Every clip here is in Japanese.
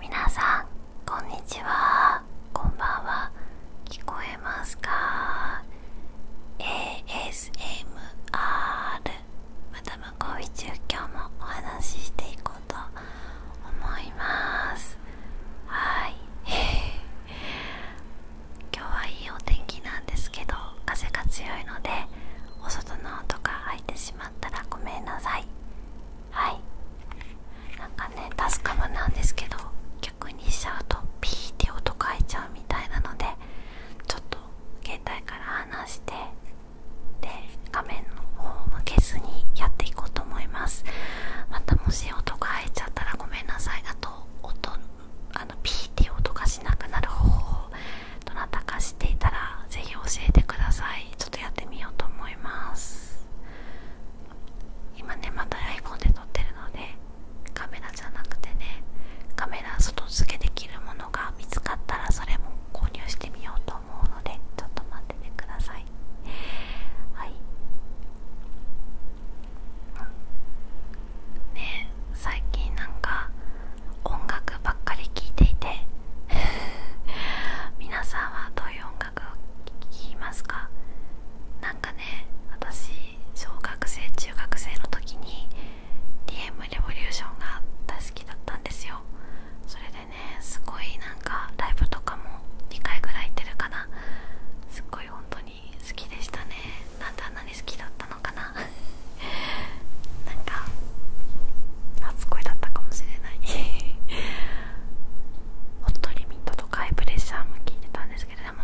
皆さんこんにちはこんばんは聞こえますか ASMR マダムコビチュ今日もお話ししていこうと思いますはい 今日はいいお天気なんですけど風が強いのでお外の音が入いてしまったらごめんなさいはいなんかねタかカムんですけど逆にしちゃうとピーって音変えちゃうみたいなのでちょっと携帯から離してで画面の方を向けずにやっていこうと思いますまたもし音が入っちゃったらごめんなさいだと音あのピーっていう音がしなくなる方法どなたか知っていたらぜひ教えてくださいちょっとやってみようと思います今ねまた iPhone で撮ってるのでカメラじゃなくてねカメラ外付けできるものが見つかったらそれも購入してみようと思うのでちょっと待っててくださいはい最近なんか音楽楽ばっかり聴いていて 皆さんはどういう音楽を聴きますかなんかね私小学生中学生の時に DM レボリューションが大好きだったんですよそれでねすごいなんかライブとかも2回ぐらい行ってるかなすっごい本当に好きでしたねなであんなに好きだったのかな なか初恋だったかもしれないホットリミットとかハイプレッシャーも聴いてたんですけれども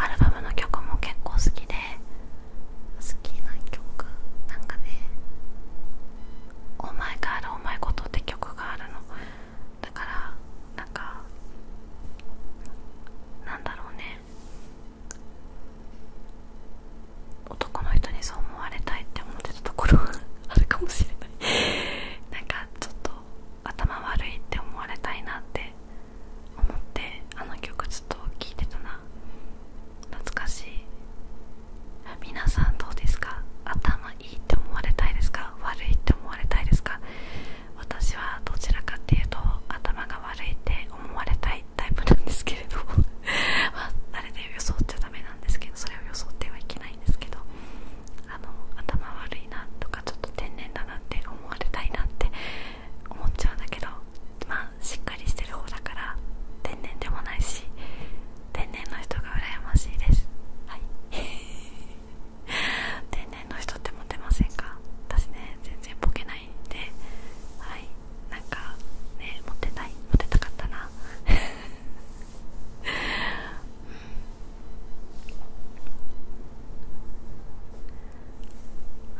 アルバムの曲も結構好きで好きな曲なんかね「お前があるお前ごと」って曲があるのだからなんかなんだろうね男の人にそう思われたいって思ってたところがあるかもしれないなんかちょっと頭悪いって思われたいなって思ってあの曲ずっと聴いてたな懐かしい皆さんどうですか頭いいって思われたいですか悪いって思われたいですか私はどちらかっていうと頭が悪いって思われたいタイプなんですけれどまああで装っちゃダメなんですけどそれを装ってはいけないんですけどあの頭悪いなとかちょっと天然だなって思われたいなって思っちゃうんだけどまあしっかりしてる方だから天然でもないし天然の人が羨ましいですはい 天然の人ってモテませんか私ね全然ボケないんではいなんかねモテないモテたかったなうん。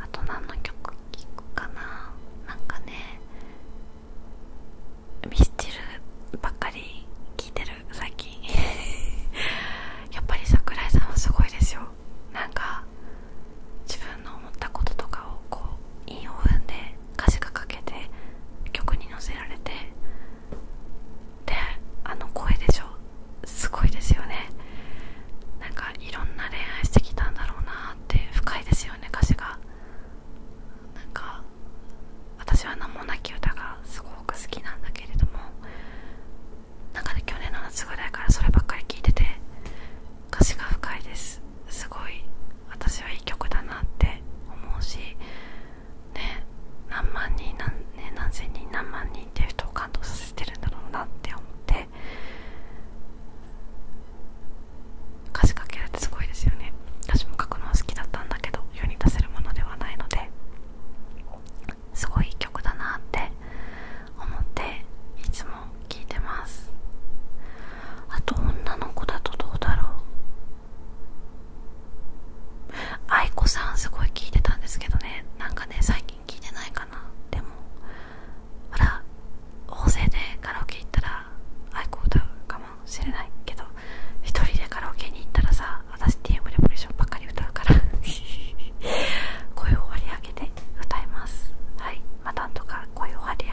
あと何の曲聴くかななんかねミスチルばっかり聴いてる最近 やっぱり櫻井さんはすごいですよなんか自分の思ったこととかをこう。韻を踏んで歌詞が書けて曲に載せられてであの声でしょすごいですよねなんかいろんな恋愛してきたんだろうなって深いですよね歌詞がなんか私は何もなき歌がすごく好きなんだけれどもなんかね去年の夏ぐらいからそればっかり聞いてて歌詞が深いですすごい私はいい曲だなって思うしね何万人何,、千人何万人っていう人を感動させてるんだろうなって思って歌詞書けるってすごいですよね私も書くのは好きだったんだけど世に出せるものではないのですごいいい曲だなって思っていつも聴いてますあと女の子だとどうだろう愛子さんすごい聞いてたんですけどねなんかね最近聞いてないかなでもほら大勢でカラオケ行ったら愛子歌うかもしれないけど1人でカラオケに行ったらさ私 TM レボリューションばっかり歌うから 声を割り上げて歌いますはいまあなとか声を張り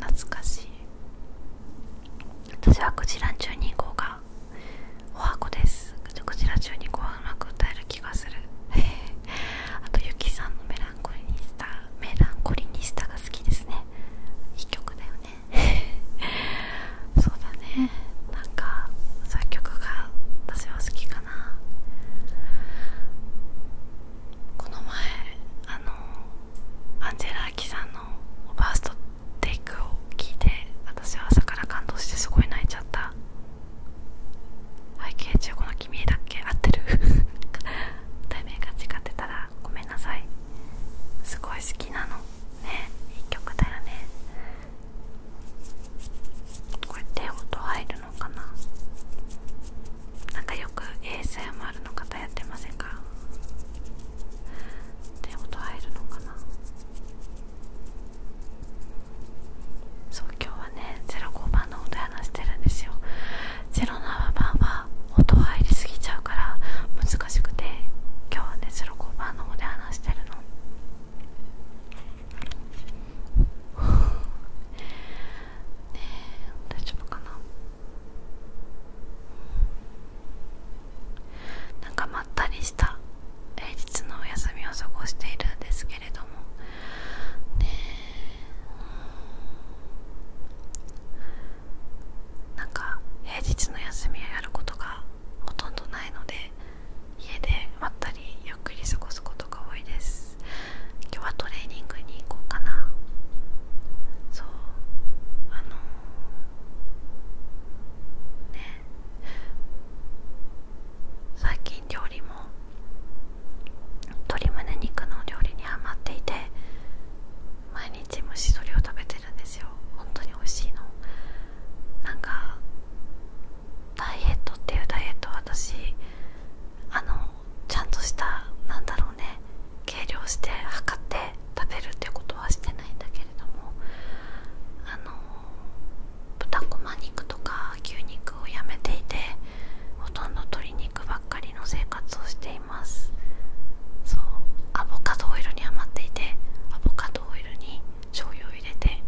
懐かしい私はクジラ12号がおはこですクジラ12号はうまく歌える気がするあとユキさんのメランコリニスタメランコリニスタが好きですねいい曲だよねそうだねなんか作曲が私は好きかなこの前あのアンジェラ・アキさんのファーストテイクを聞いて私は朝から感動してすごい泣いちゃった背景中この君だっけ合ってる 題名が違ってたらごめんなさいすごい好きなのねいい曲だよねこれて、音入るのかななんかよく ASMR の方やってませんかって音入るのかなそう今日はね05番の音話してるんですよ07番は音入りすぎちゃうから難しくて今日はね05番の方で話してるのねえ大丈夫かななんかまったりした平日のお休みを過ごしているんですけれどもねえなんか平日の休みをやることがほとんどないので家でまったりゆっくり過ごすことが多いです今日はトレーニングに行こうかなそうあのー、ね最近料理も鶏むね肉の料理にはまっていて毎日虫しりを食べてるんですよ本当に美味しいのなんかダイエットっていうダイエットは私あのちゃんとしたなんだろう。ね計量して測って食べるってことはしてないんだけれどもあの豚こま肉とか牛肉をやめていてほとんど鶏肉ばっかりの生活をしていますそうアボカドオイルに余っていてアボカドオイルに醤油を入れて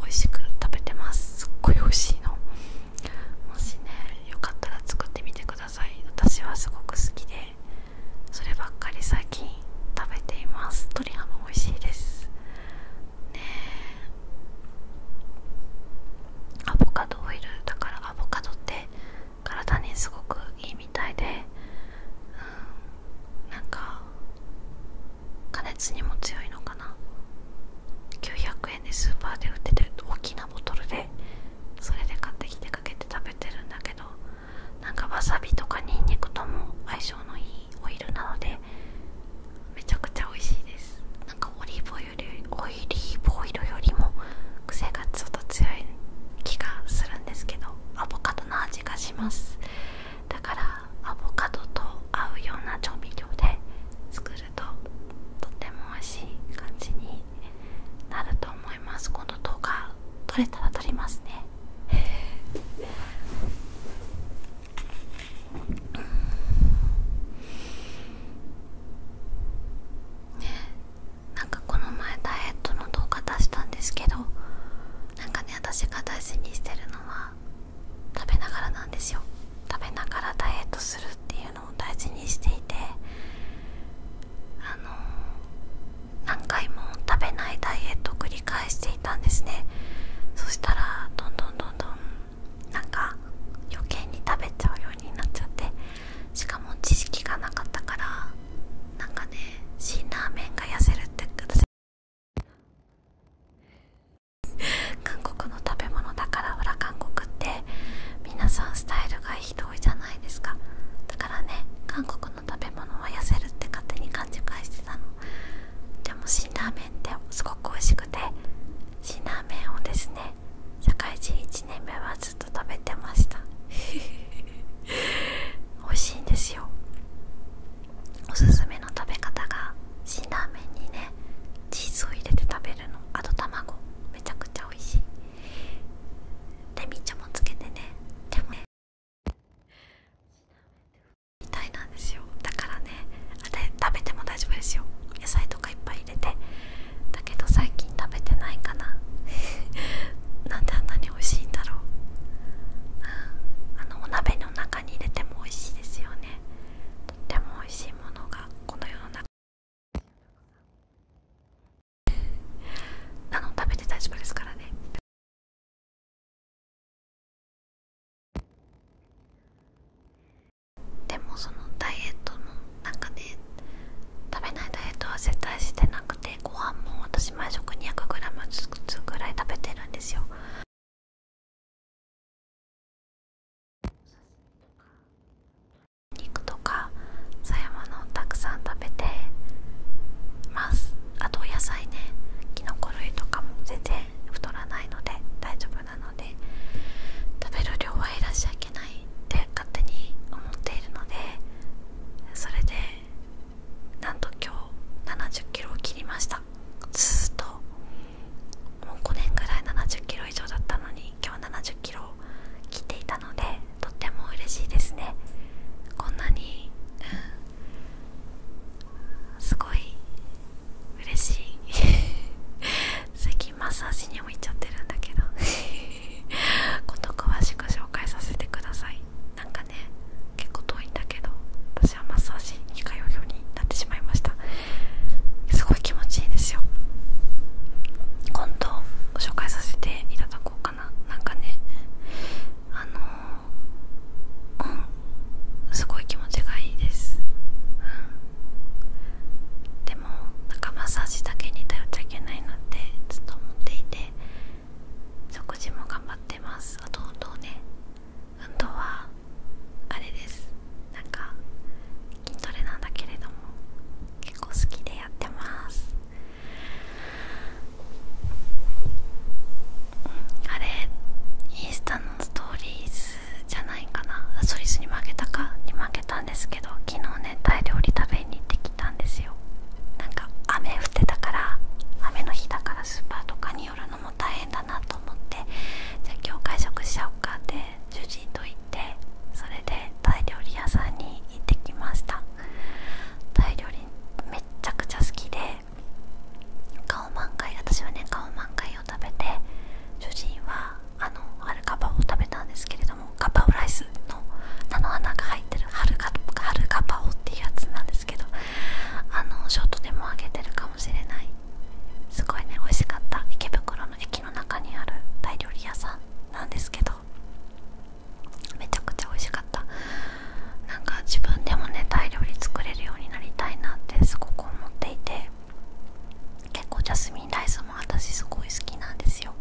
美味しく食べてますすっごい美味しいのもしねよかったら作ってみてくだ私はすごく好きでそればっかり最近食べています鶏ハム美味しいですねアボカドオイルだからアボカドって体にすごくいいみたいでうんなんか加熱にも強いのかな900円。スーパーで売ってて大きなボトルでそれで買ってきてかけて食べてるんだけどなんかわさびとかにんにくとも相性のいいオイルなのでめちゃくちゃ美味しいですなんかオリーブオイルオイリーボイルよりも癖がちょっと強い気がするんですけどアボカドの味がしますだからアボカドと合うような調味料で作るととても美味しい感じにになると思います今度動画撮れたら撮りますねねなんかこの前ダイエットの動画出したんですけどなんかね私が大事にしてるのは食べながらなんですよ食べながらダイエットするっていういうのを大あの何回も食べないダイエットを繰り返していたんですねそしたらどんどんどんどんなんか余計に食べちゃうようになっちゃってしかも知識がなかったからなんかね辛ラーメンが痩せるって私 韓国って皆さんスタイルがひどいじゃないですかだからね韓国の食べ物は痩せるって勝手に勘違いしてたのでも辛ラーメンってすごく美味しくて辛ラーメンをですね社会人1年目はずっと食べてました 美味しいんですよおすすめの食べ方が辛ラーメンにねチーズを入れて食べるのあと卵めちゃくちゃ美味しいレミちゃんもつけてねでもねみたいなんですよだからねあれ食べても大丈夫ですよ野菜とかいっぱい入れてだけど最近食べてないかな なんであんなに美味しいんだろう、あのお鍋の中に入れても美味しいですよねとっても美味しいものがこの世の中あの食べて大丈夫ですからねでもそのダイエットも、なんかね。食べないダイエットは絶対してなくてご飯も私毎食 200g ずつぐらい食べてるんですよ肉とかそういうものをたくさん食べてますあと野菜ねきのこ類とかも全然太らないので大丈夫なので食べる量は減らしちゃいけないって勝手に思っているのでそれでなんと今日7 0キロを切りましたずっともう5年ぐらい7 0キロ以上だったのに今日70キロを切っていたのでとっても嬉しいですねこんなに、うん、すごい嬉しい 最近マッサージにも行っちゃってるんだけどこと 詳しく紹介させてくださいなんかね結構遠いんだけど私はマッサージに通うようになってしまいましたすごい気持ちいいですよ今度ご紹介させていただこうかななんかねあのうんすごい気持ちがいいですうんでもなんかマッサージだけに頼っちゃいけないなってずっと思っていて食事も頑張ってますあと運動ね運動はあれですなんか筋トレなんだけれども結構好きでやってますあれインスタのストーリーズじゃないかなストーリーズに負けたかに負けたんですけど昨日ねタイ料理食べに行ってきたんですよなんか雨降ってたから雨の日だからスーパーとかに寄るのも大変だなと思ってじゃあ今日会食しちゃおうかって主人と行ってそれでタイ料理屋さんに行ってきましたタイ料理めっちゃくちゃ好きで顔満開私はね顔満開を食べて主人はあの春カバを食べたんですけれどもカバオライスの菜の花が入ってる春カバオっていうやつなんですけどあのショートでもあげてるかもしれないすごいね美味しかった池袋駅の中にあるタイ料理屋さんなんですけどめちゃくちゃ美味しかったなんか自分でもねタイ料理作れるようになりたいなってすごく思っていて結構ジャスミンライスも私すごい好きなんですよ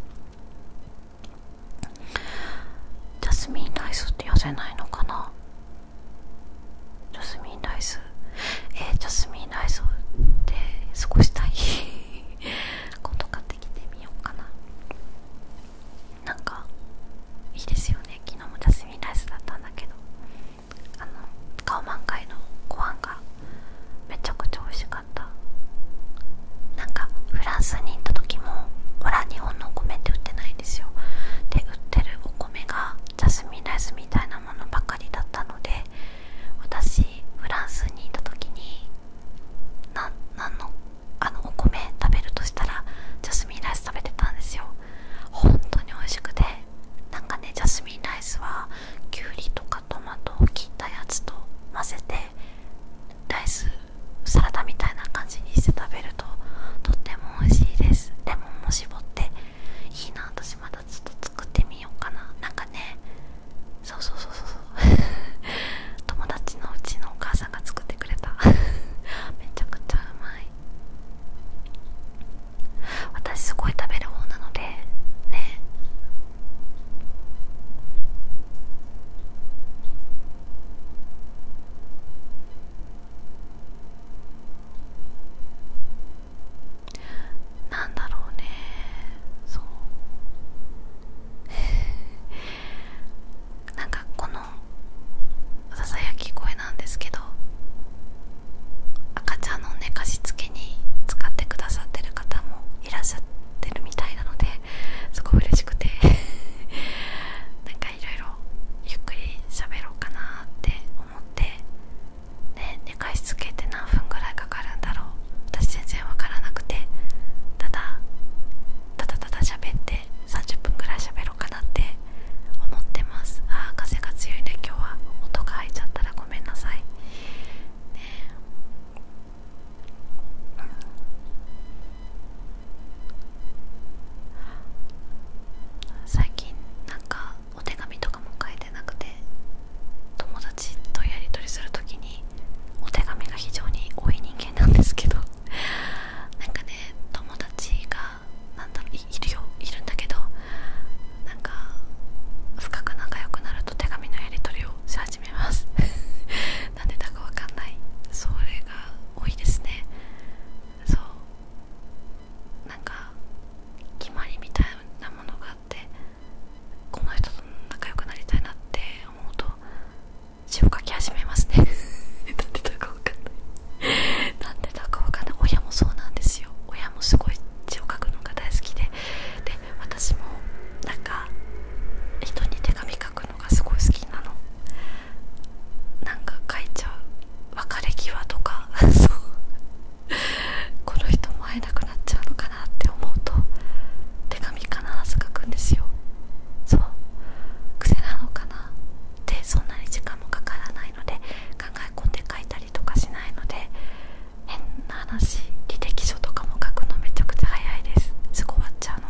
ジャスミンライスって痩せないのかなスえー、ジャスミンライスで過ごしたい 今度買ってきてみようかななんかいいですよね昨日もジャスミンライスだったんだけどあの顔満開のご飯がめちゃくちゃ美味しかったなんかフランスに行った時もほら日本のお米って売ってないんですよで売ってるお米がジャスミンライスみたいなものばかりだったので私フランスにいた時に何のあのお米食べるとしたらジャスミンライス食べてたんですよ本当に美味しくてなんかねジャスミンライスはきゅうりとかトマトを切ったやつと混ぜてライスサラダみたいな感じにして食べるととっても美味しいですレモンも絞っていいな私まだちょっと作ってみようかななんかねそうそうそうそう 友達のうちのお母さんが作ってくれた めちゃくちゃうまい私すごい食べる方なのでねなんだろうねそう なんかこのささやき声なんですけど赤ちゃんの寝かしつけに使ってくださってる方もいらっしゃってるみたいなのですごい嬉しくて なんかいろいろゆっくり喋ろうかなって思ってね寝かしつけって何分ぐらいかかるんだろう私全然わからなくてただただただ喋って30分ぐらい喋ろうかなって思ってますああ風が強いね今日は音が入っちゃったらごめんなさいねえ最近なんかお手紙とかも書いてなくて友達とやり取りする時にお手紙が非常に多い人間なんですけど なんかね友達がなんだいるよいるんだけどなんか深く仲良くなると手紙のやり取りをし始めます なんでだかわかんないそれが多いですねそうなんか決まりみたいなものががこの人と仲良くなりたいなって思うと字を書き始めますね なでだかわかんないなでだかわかんない親もそうなんですよ親もすごい字を書くのが大好きでで私もなんか人に手紙書くのがすごい好きなのなんか書いちゃう別れ際とかそう この人も会えなくなっちゃうのかなって思うと手紙必ず書くんですよそう癖なのかなって。そんなに時間もかからないので考え込んで書いたりとかしないので変な話履歴書とかも書くのめちゃくちゃ早いですすぐ終わっちゃうの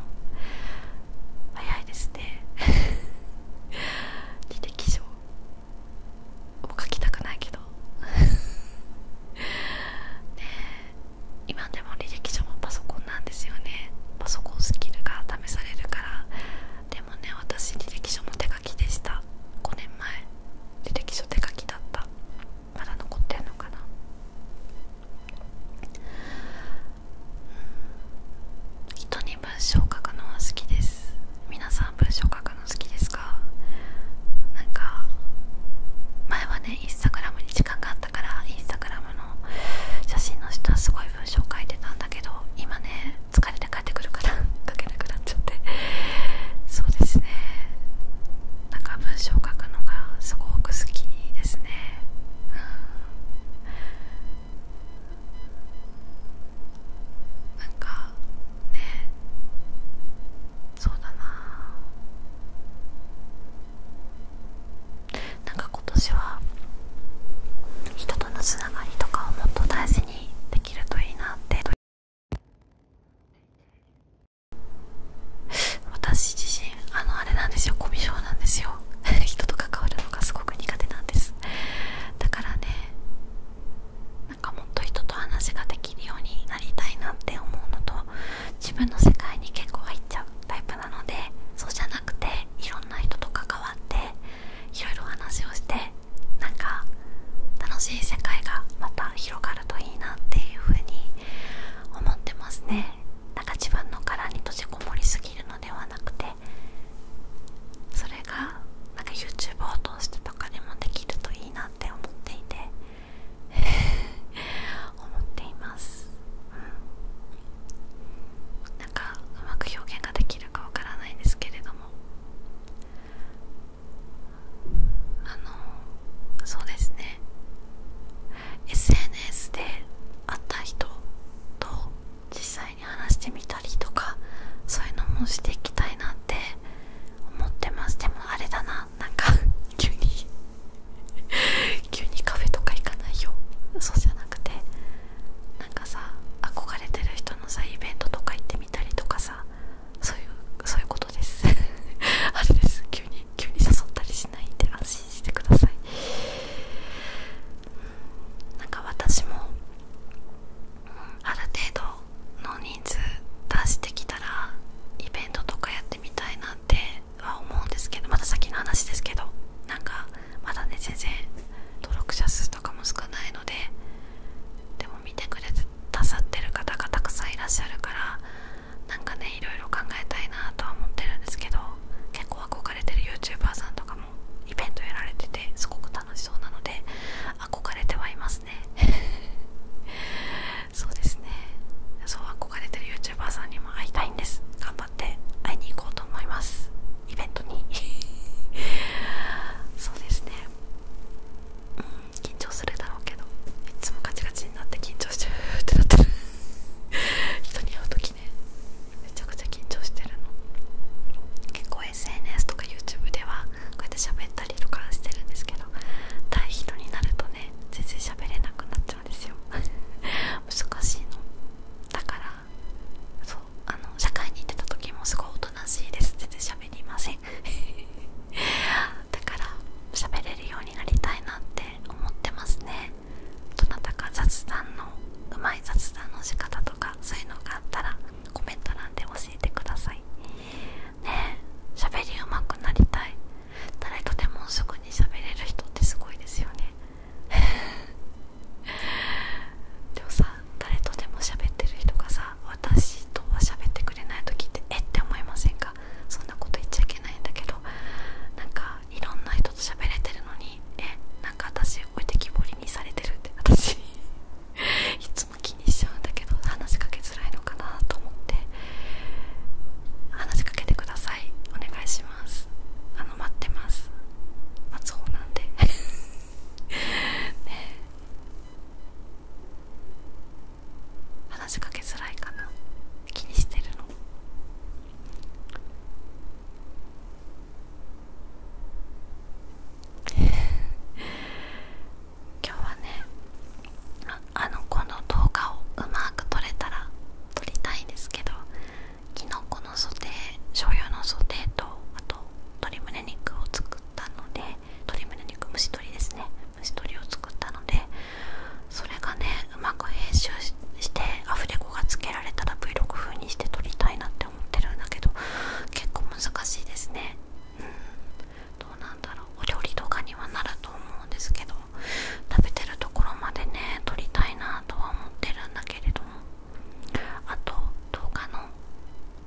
早いですね 履歴書もう書きたくないけど ね今でも履歴書もパソコンなんですよねパソコンスキルが試されるからでもね私履歴書も手書きでした5年前履歴書手書きだったまだ残ってんのかなうん。人に文章を書くのは好きです皆さん文章書くの好きですかなんか前はねインスタグラムに時間があったからインスタグラムの写真の人はすごい文章書いてたんだけど今ね疲れて帰ってくるから 書けなくなっちゃってそうですねなんか文章書くのがすごく好きですね、うん、なんかねそうだななんか今年は人とのつながりとかをもっと大事にできるといいなって私自身あのあれなんですよコミュ障なんですよ 人と関わるのがすごく苦手なんですだからねなんかもっと人と話ができるようになりたいなって思うのと自分の世界に結構入っちゃうタイプなのでそうじゃなくていろんな人と関わっていろいろ話をしてなんか楽しい世界がまた広がるといいなっていうふうに思ってますねなんか自分の殻に閉じこもりすぎるのではなくてそれがなんか YouTube を通してとかでもできるといいいなって思っていて 思っています、うなんかうまく表現ができるかわからないんですけれどもあのそうですね SNS で会った人と実際に話してみたりとかそういうのもしていきたいなって思ってますでもあれだななんか 急に急にカフェとか行かないよそうじゃなくてなんかさ憧れてる人のさイベントとか行ってみたりとかさそういうそういうことです あれです急に急に誘ったりしないんで安心してくださいなんか私も、ある程度の人数出してきたらイベントとかやってみたいなっては思うんですけどまだ先の話ですけどなんかまだね全然登録者数とかも少ないのででも見てくれてくださってる方がたくさんいらっしゃるからなんかねいろいろ考えたいなとは思ってるんですけど結構憧れてる YouTuber さんとかもイベントやられててすごく楽しそうなので憧れてはいます そうですねそう憧れてる YouTuber さんにも会いたいんです頑張って会いに行こうと思いますイベントに そうですねうん緊張するだろうけどいつもガチガチになって緊張してる ってなってる人に会う時ねめちゃくちゃ緊張してるの結構 SNS とか YouTube ではこうやって喋ったしてるんですけど対人になるとね全然喋れなくなっちゃうんですよ 難しいのだからそうあの社会に出た時もすごいおとなしいです全然喋りません だから喋れるようになりたいなって思ってますねどなたか雑談のうまい雑談の仕方とかそういうのがあったらコメント欄で教えてくださいね喋りうまくなりたい誰とでもすぐに喋れる人ってすごいですよね でもさ誰とでも喋ってる人がさ私とは喋ってくれない時ってえって思いませんかそんなこと言っちゃいけないんだけどなんかいろんな人と喋れてるのにえなんか私置いてきぼりにされてるって私いつ 気にしちゃうんだけど話しかけづらいのかなと思って話しかけてくださいお願いしますあの待ってますま待そうなんで ね話しかけづらいかな気にしてるの 今日はねあのこの動画をうまく撮れたら撮りたいんですけどきのこのソテー醤油のソテーとあと鶏むね肉を作ったので鶏むね肉蒸し鶏ですね蒸し鶏を作ったのでそれがねうまく編集してアフレコがつけられたら v 6風にして撮りたいなって思ってるんだけど結構難しいですねどうなんだろうお料理とかにはなると思うんですけど食べてるところまでね撮りたいなとは思ってるんだけれどもあと動画の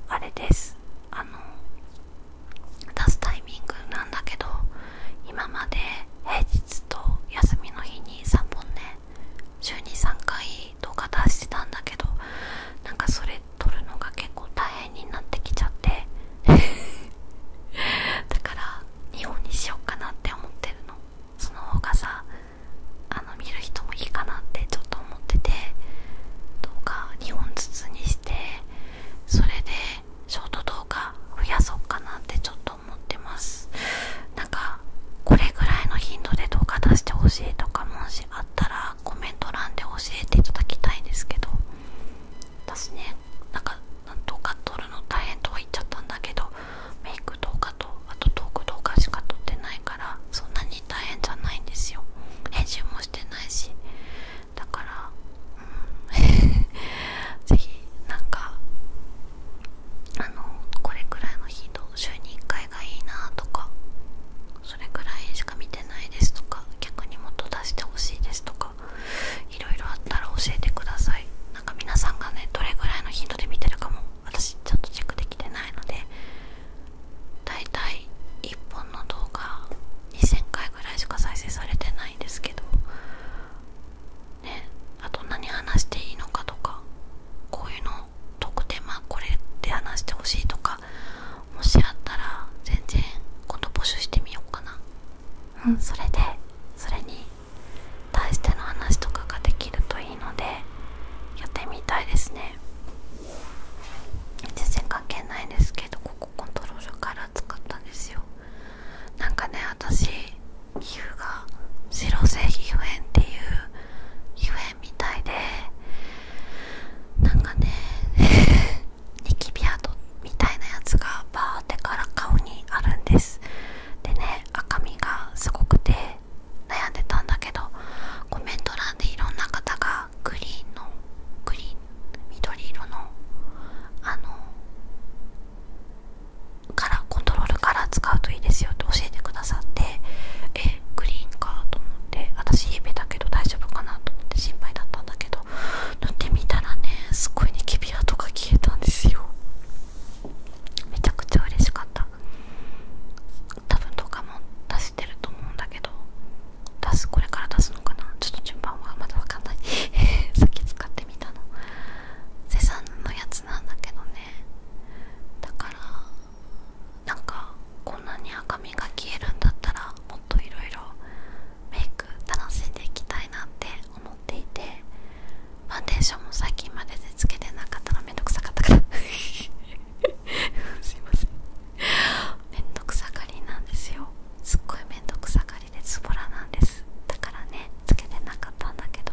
あれですあの出すタイミングなんだけど今まで平日と休みの日に3本ね週に3回動画出してたんだけどなんかそれれ撮るのが結構大変になってきちゃって だから日本にしようかなって思ってるのその方がさあの見る人もいいかなってちょっと思ってて動か2本ずつにしてそれでショート動画増やそうかなってちょっと思ってますなんかこれぐらいの頻度で動画出してほしいとかもしあったらコメント欄で教えていただきたいんですけど私ねなんか動画撮るの大変とは言っちゃったんだけどメイク動画とあとトーク動画しか撮ってないからそんなに大変じゃないんですよ編集もしてないしだからうん ぜひなんかあのこれくらいの頻度週に1回がいいなとかそれくらいしか見てないですとか逆にもっと出してほしいですとかいろあったら教えてくださいなんか皆さんがねどれぐらいの頻度で見てるかも私ちょっとチェックできてないのでだいたい1本の動画2000回ぐらいしか再生されてないんですけどねあと何話していいのかとかこういうの特典まあこれで話してほしいとかもしあったら全然今度募集してみようかなうんそれでそれに対しての話とかができるといいのでやってみたいですね全然関係ないんですけどここコントロールカラー使ったんですよなんかね私皮膚が白漏性皮膚炎っていう皮膚みたいでなんかね ニキビ跡みたいなやつがバーってから顔にあるんですでね赤みがすごくて悩んでたんだけどコメント欄でいろんな方がグリーンのグリーン緑色のあのカラーコントロールカラー使うといいですよって教えてくださってえグリーンかと思っで私夢だけど大丈夫かなと思って心配だったんだけど塗ってみたらねすっごいニキビ跡が消えたんですよめちゃくちゃ嬉しかった多分動画も出してると思うんだけど出すこれから出すのかなちょっと順番はまだわかんないさっき使ってみたのセサンのやつなんだけどねだからなんかこんなに赤みが消えるんだったらもっといろいろメイク楽しんでいきたいなって思っていてファンデーションも最近まででつけてなかったのめんどくさかったから すいませんめんどくさがりなんですよすっごいめんどくさがりでズボラなんですだからねつけてなかったんだけど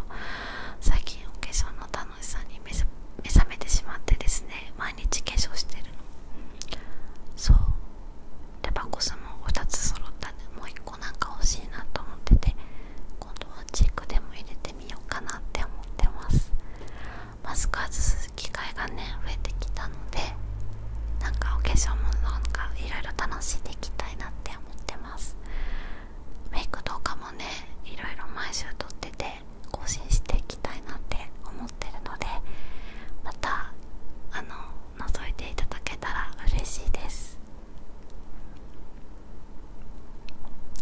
最近お化粧の楽しさに目覚めてしまってですね日化粧してるそうでバコスも2つ揃ったんでもう1個なんか欲しいなと思ってて今度はチークでも入れてみようかなって思ってますマスク外す機会がね増えてきたのでなんかお化粧もなんかいろいろ楽しんでいきたいなって思ってますメイク動画もねいろいろ毎週撮ってて更新していきたいなって思ってるのでまたあの覗いていただけたら嬉しいです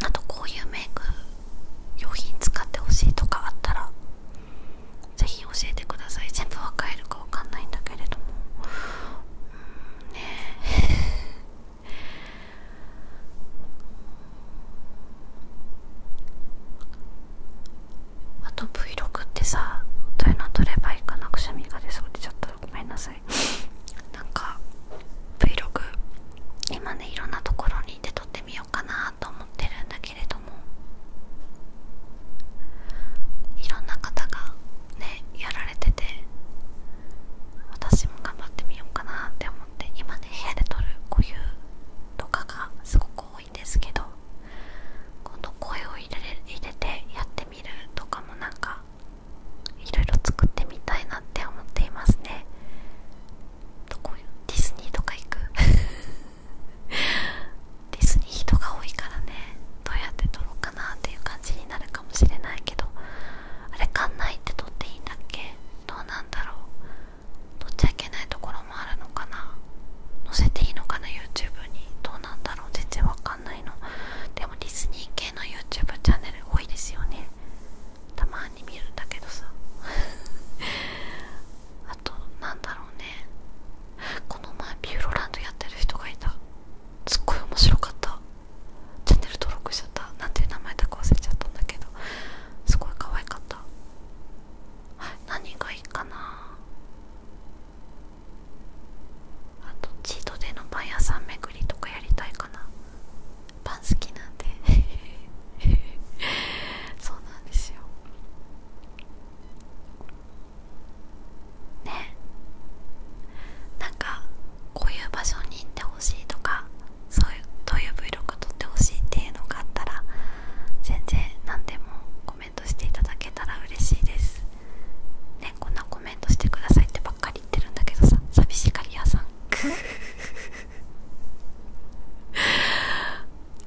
あとこういうメイク用品使ってほしいとかあったらぜひ教えてください全部は買えるかわかんないんだけれどもうんねあと Vlog ってさどういうの撮ればいいかなくしゃみが出そうでちょっとごめんなさい なんか Vlog 今ねいろんなところに行って撮ってみようかなと思ってるんだけれどもいろんな方がねやられてて私も頑張ってみようかなって思って。思今ね部屋で撮る固有とかがすごく多いんですけど今度声を入れ入れてやってみるとかもなんかいろいろ作ってみたいなって思っていますねディズニーとか行く ディズニー人が多いからねどうやって撮ろうかなっていう感じになるかもしれないけどあれ館内って撮っていいんだっけどうなんだろう取っちゃいけないところもあるのかな載せていいのかな YouTube にどうなんだろう全然わかんないのでもディズニー系の YouTube チャンネル多いですよねたまに見るんだけどさ あとなんだろうねこの前ビューロランドやってる人がいたすっごい面白かったチャンネル登録しちゃった何ていう名前だか忘れちゃったんだけどすごい可愛かった何がいいかなあとチートでのパン屋さん巡りとかやりたいかなパン好きなんで そうなんですよねなんかこういう場所に行ってほしいとかそういうどういう Vlog 撮ってほしいっていうのがあったら全然何でもコメントしていただけたら嬉しいですねこんなコメントしてくださいってばっかり言ってるんだけどさ寂しがり屋さん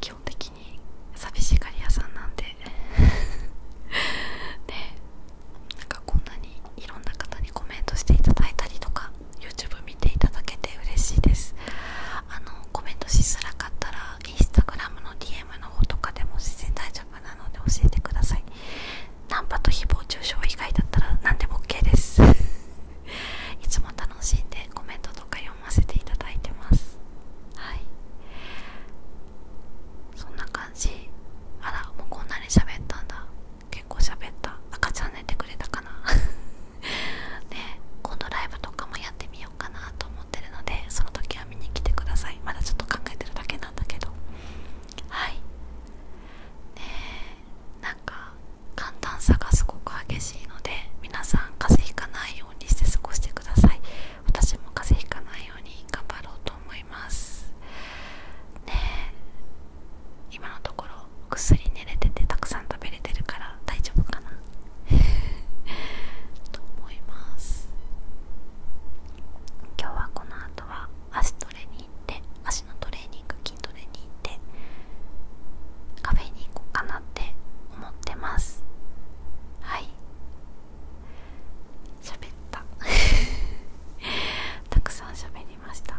基本的に寂しがり屋さんなんで ねなんかこんなにいろんな方にコメントしていただいたりとか YouTube 見ていただけて嬉しいですあのコメントしづらかったらインスタグラムの DM の方とかでも全然大丈夫なので教えてくださいナンパと誹謗中傷以外だったら何でも OK です いつも楽しんでコメントとか読ませていただいてますはいそんな感じあらもうこんなに喋ったんだ結構喋った赤ちゃん寝てくれたかな でこのライブとかもやってみようかなと思ってるのでその時は見に来てくださいまだちょっと考えてるだけなんだけどはいでなんか簡単さがすごく激しいので皆さん風邪ひかないようにして過ごしてください私も風邪ひかないように頑張ろうと思いますね今のところぐっすり寝れててたくさん食べれてるから大丈夫かな と思います今日はこの後は足トレに行って足のトレーニング筋トレに行ってカフェに行こうかなって思ってますはい喋った たくさん喋りました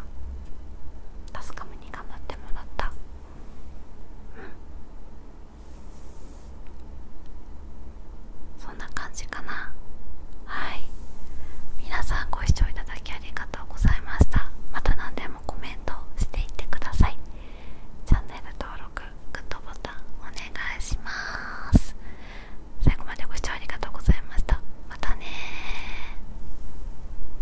タスカムに頑張ってもらったそんな感じかなはい皆さんご視聴いただきありがとうございましたまた何でもコメントしていってくださいチャンネル登録グッドボタンお願いします最後までご視聴ありがとうございましたまたね